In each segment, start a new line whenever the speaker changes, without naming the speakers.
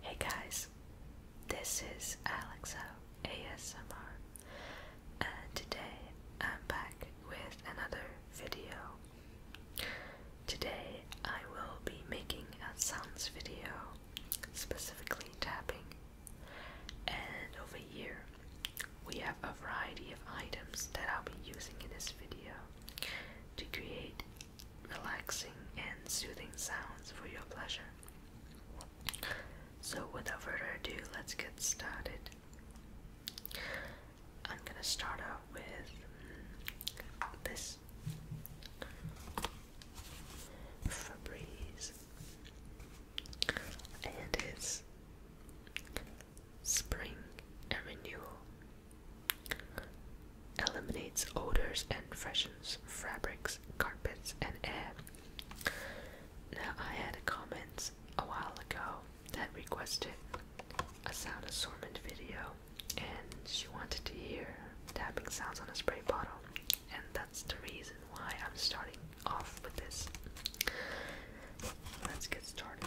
Hey guys, this is Alexa ASMR, and today I'm back with another video. Today I will be making a sounds video, specifically tapping. And over here, we have a variety of items that I'll be using in this video to create relaxing and soothing sounds for your pleasure. So, without further ado, let's get started. I'm gonna start off with this Febreze, and it's spring renewal eliminates odors and freshens fabrics, carpets, and air. Now, I had a comment a while ago that requested a sound assortment video, and she wanted to hear tapping sounds on a spray bottle, and that's the reason why I'm starting off with this. Let's get started.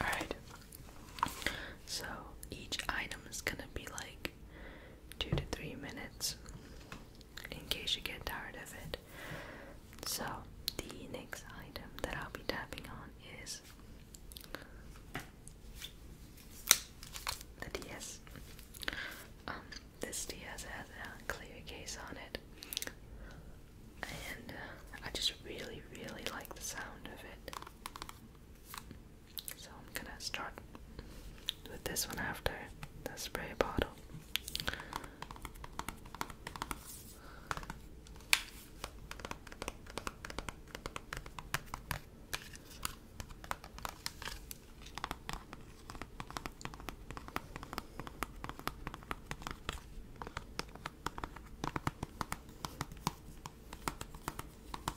Alright. So each item is gonna be like two to three minutes in case you get tired of it. So, the next item that I'll be tapping on is the DS. Um, this DS has a clear case on it, and uh, I just really, really like the sound of it. So I'm gonna start with this one after the spray bottle.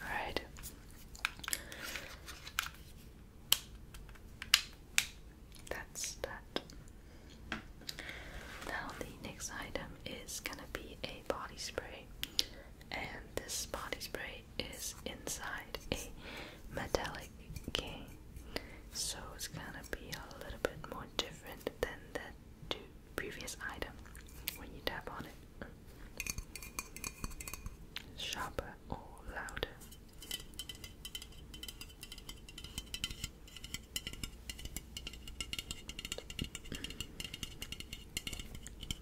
All right. That's that. Now the next item is gonna be a body spray and this body spray is inside a metallic cane, so it's gonna be a little bit more different than the two previous item when you tap on it. Sharper or louder.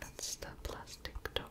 That's the plastic top.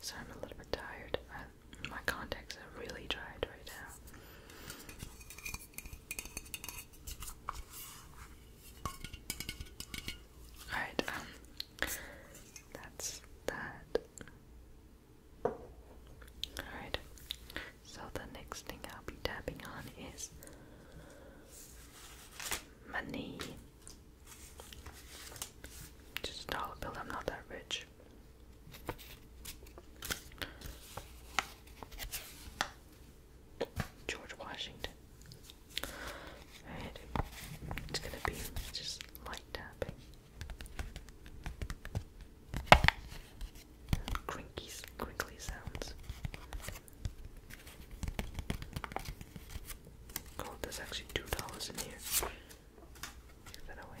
So I'm a little bit tired. my contacts are really dried right now. Alright, um, that's that. Alright, so the next thing I'll be tapping on is money. Just a dollar bill, I'm not that rich. George Washington. Right? It's gonna be just light tapping. Crinkly, crinkly sounds. Oh, there's actually two dollars in here. Give that away.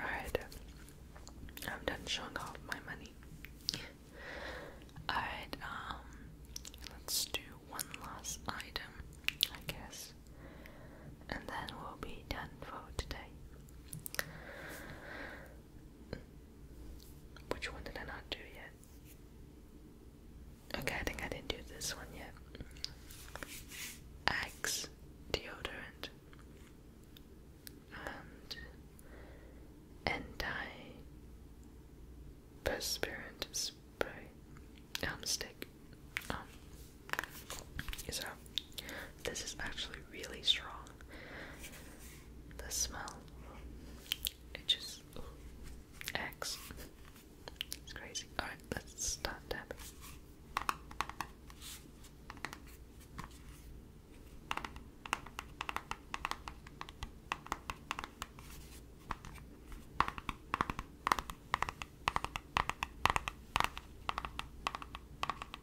Alright, I'm done showing off my money. Alright, um, let's do one last item, I guess and then we'll be done for today. Which one did I not do yet? Okay, I think I didn't do this one yet. Axe deodorant and anti-perspirant spray um stick um so, this is actually really strong. The smell, it just acts. It's crazy. Alright, let's start tapping.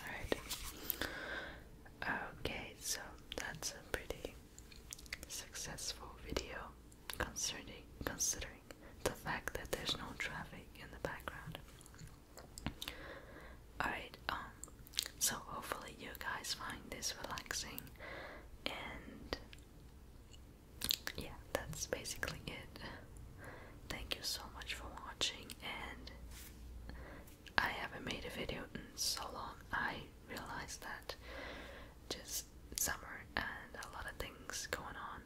Alright. Okay, so that's a pretty successful video considering, considering the fact that there's no traffic in the background. Alright, um, so hopefully you guys find this relaxing and yeah, that's basically it. Thank you so much for watching and I haven't made a video in so long. I realize that just summer and a lot of things going on,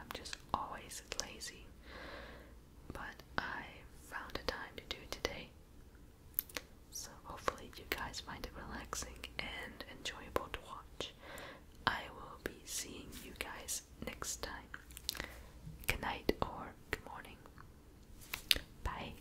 I'm just always lazy. But I found a time to do today, so hopefully, you guys find it relaxing and enjoyable to watch. I will be seeing you guys next time. Good night or good morning. Bye.